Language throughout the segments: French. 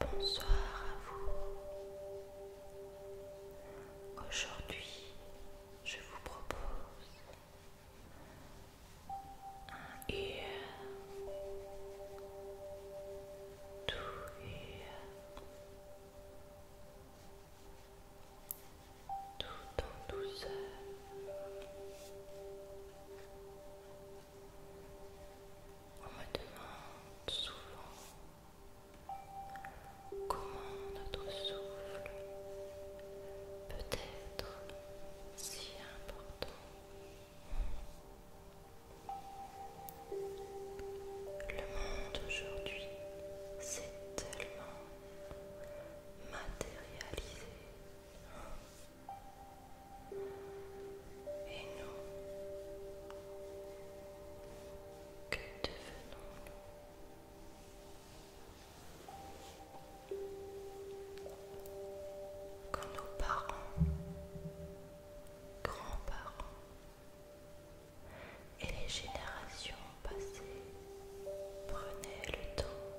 Bonsoir à vous. Aujourd'hui, je vous propose un air, tout et tout en douceur. On me demande souvent Comment notre souffle peut être si important Le monde aujourd'hui s'est tellement matérialisé. Et nous, que devenons-nous quand nos parents, grands-parents et les générations passées prenaient le temps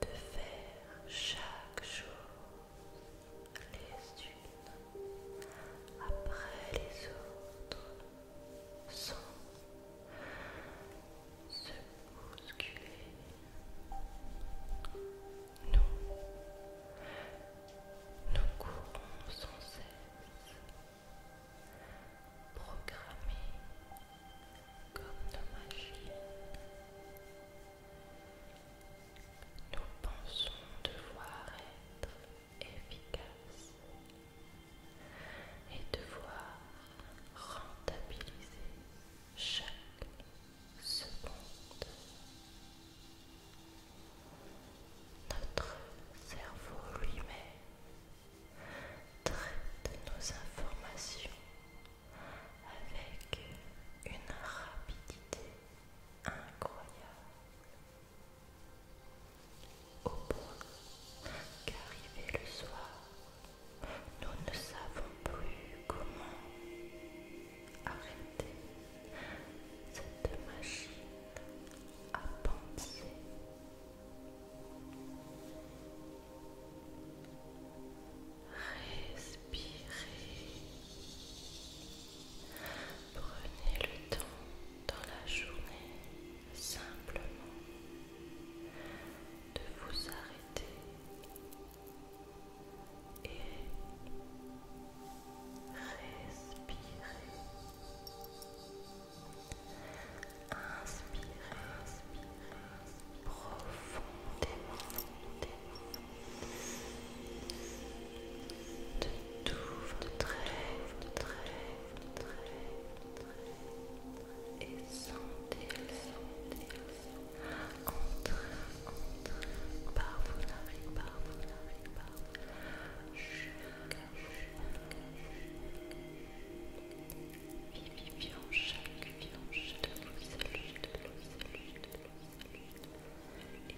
de faire chaque jour les après les autres sans se bousculer. Nous, nous courons sans cesse, programmés comme nos machines. Nous pensons devoir être efficace et devoir rentabiliser chaque seconde. Notre cerveau lui-même traite nos informations avec une rapidité incroyable. Au point qu'arrivé le soir, nous ne savons plus comment arrêter cette machine à penser. Respirez. Prenez le temps dans la journée simplement de vous arrêter et respirer. Inspirez, inspirez profondément de tout votre rêve, et sentez vous entrer par vos par chaque viande, de de de de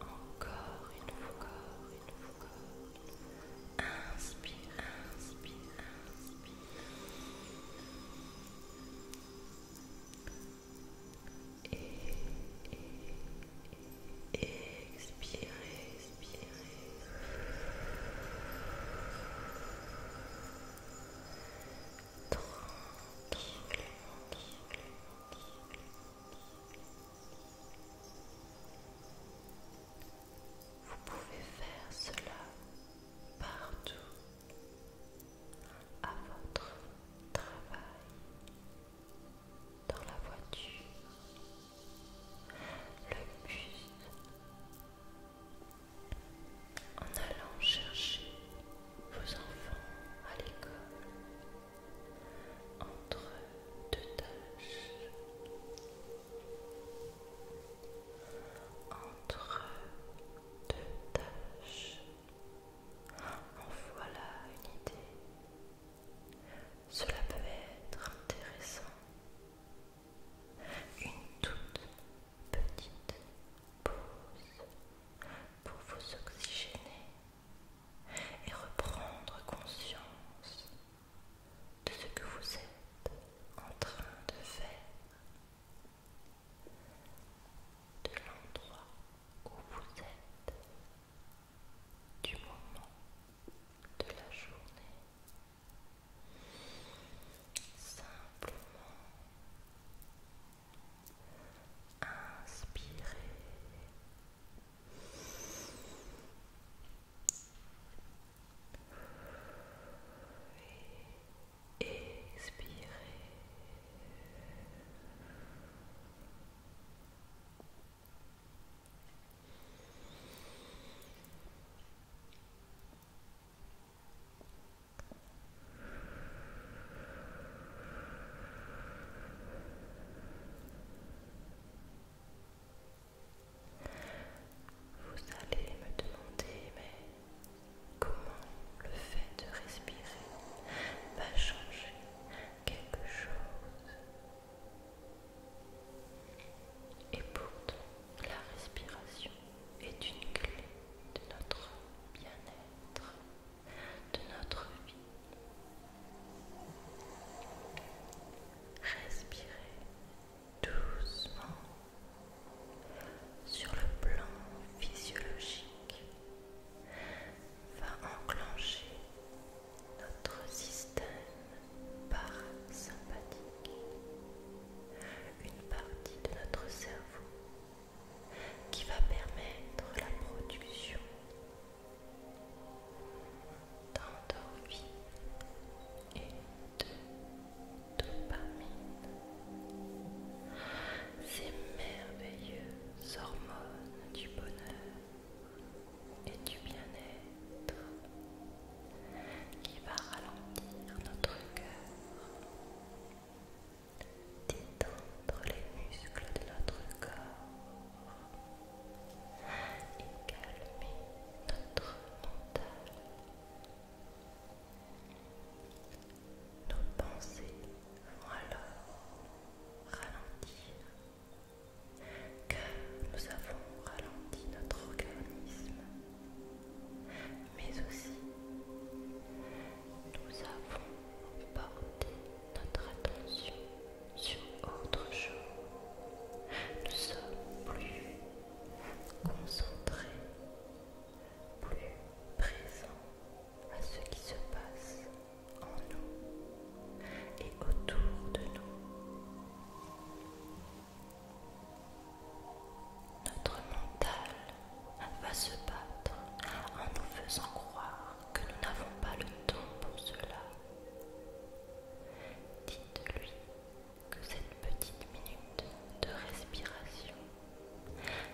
Encore une Inspire, inspire, inspire. Et, expire. expire, vous pouvez faire cela partout à votre travail, dans la voiture, le bus, en allant chercher vos enfants à l'école entre deux tâches, entre deux tâches. En voilà une idée. Cela peut être intéressant. Une toute petite pause pour vous oxygéner et reprendre conscience de ce que vous êtes en train de faire, de l'endroit où vous êtes, du moment de la journée. Simplement Inspirez. Et expirez. Vous allez me demander, mais comment le fait de respirer va changer quelque chose Et pourtant, la respiration est une clé de notre bien-être de notre vie. Respirez doucement sur le plan physiologique va enclencher notre système parasympathique, une partie de notre cerveau qui va permettre la production d'endorphine et de dopamine. Ces merveilleuses hormones du bonheur et du bien-être qui va ralentir notre cœur d'étendre les muscles de notre corps et calmer notre mental. Nos pensées vont alors ralentir, car nous avons ralenti notre organisme, mais aussi nous avons porté notre attention sur autre chose. Nous sommes plus concentrés, plus présents à ce qui se passe en nous et autour de nous. Notre mental va se battre en nous faisant croire que nous n'avons pas le temps pour cela. Dites-lui que cette petite minute de respiration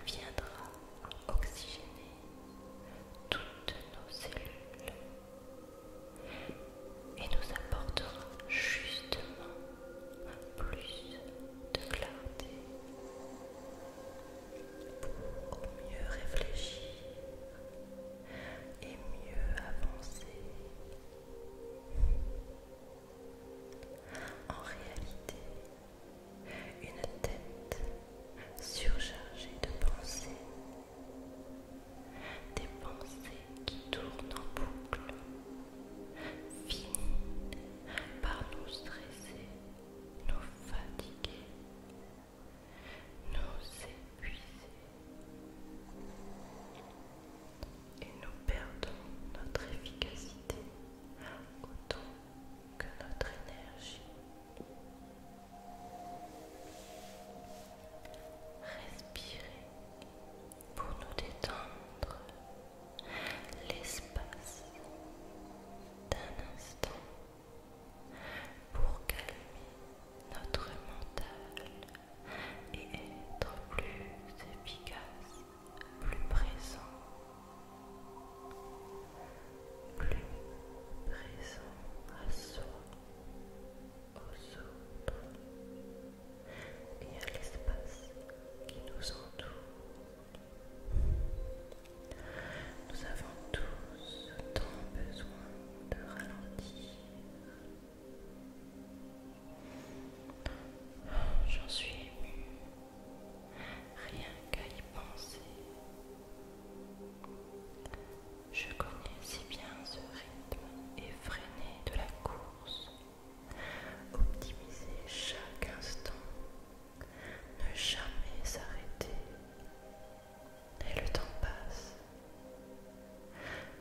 viendra oxygéner toutes nos cellules et nous apportera justement un plus de clarté pour mieux réfléchir et mieux avancer. En réalité, une tête surchargée de pensées, des pensées qui tournent en boucle, finit par nous stresser, nous fatiguer nous épuiser et nous perdons notre efficacité autant que notre énergie. Respirer pour nous détendre l'espace d'un instant pour calmer notre mental et être plus efficace, plus présent, plus présent à soi, aux autres et à l'espace qui nous entoure. Nous avons tous tant besoin de ralentir. J'en suis émue, rien qu'à y penser. Je connais si bien ce rythme effréné de la course. Optimiser chaque instant, ne jamais s'arrêter, et le temps passe.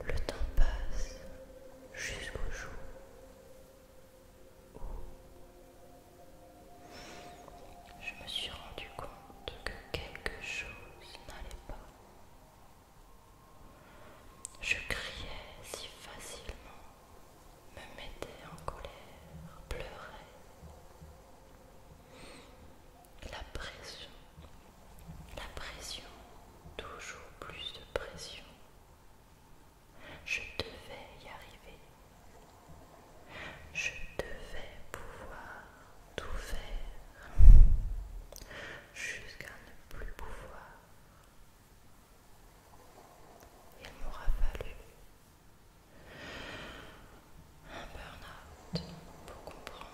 Le temps passe jusqu'au jour où je me suis rendu compte que quelque chose n'allait pas. Je criais si facilement, me mettais en colère, pleurais la pression, la pression, toujours plus de pression. Je devais y arriver. Je devais pouvoir tout faire jusqu'à ne plus pouvoir. Il m'aura fallu un burn-out pour comprendre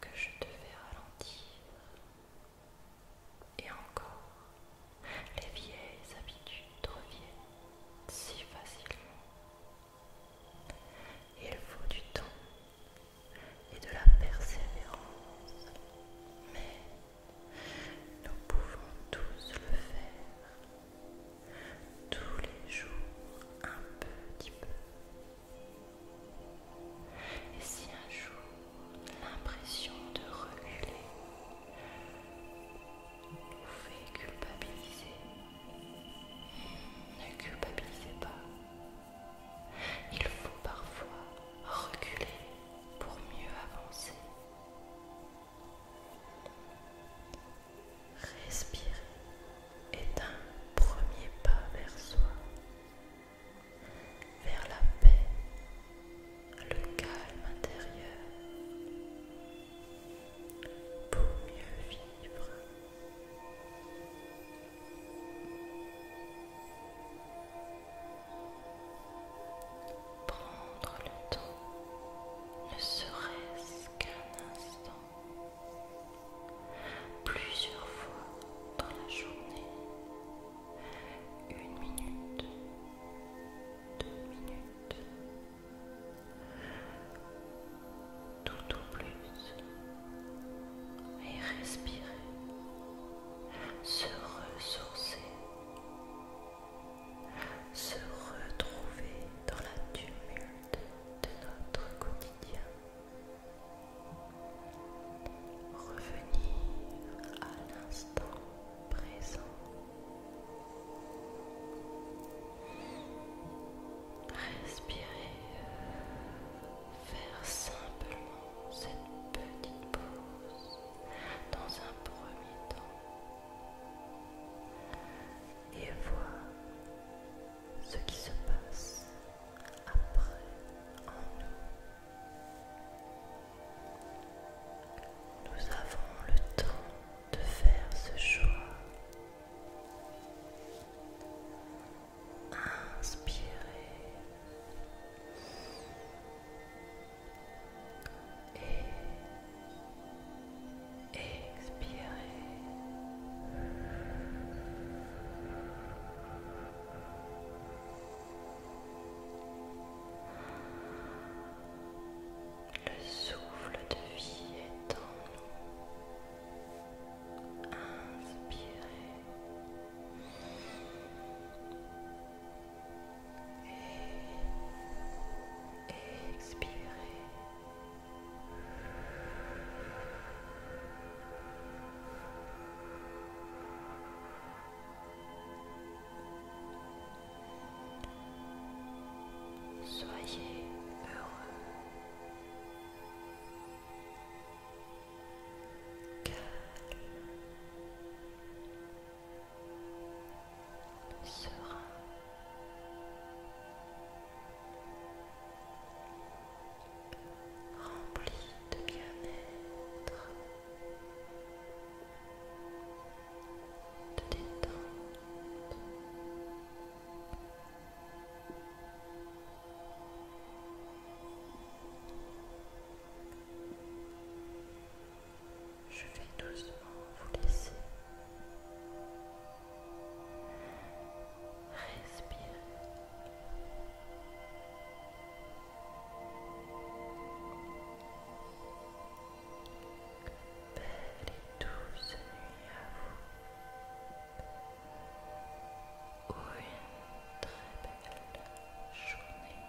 que je devais ralentir. Et encore, les vieilles habitudes reviennent si facilement. Il faut du temps et de la persévérance, mais nous pouvons tous le faire tous les jours un petit peu. Et si un jour l'impression de reculer vous fait culpabiliser, ne culpabilisez pas. Il faut parfois reculer pour mieux avancer. Respirer est un premier pas vers soi, vers la paix, le calme intérieur, pour mieux vivre. Prendre le temps ne serait-ce qu'un instant plusieurs fois dans la journée, une minute, deux minutes, tout au plus, et respirer, se ressourcer, se retrouver dans la tumule de notre quotidien. Revenir à l'instant présent. Respirer, faire simplement cette petite pause dans un premier temps et voir ce qui se passe après en nous. Nous avons le temps de faire ce choix. Inspirez. Et Expirez. Le souffle de vie est en nous. Inspirez. Et expirez. Soyez heureux, calme, serein rempli de bien-être, de détente. Je vais doucement vous laisser. Respire. Belle et douce nuit à vous. Ou une très belle journée.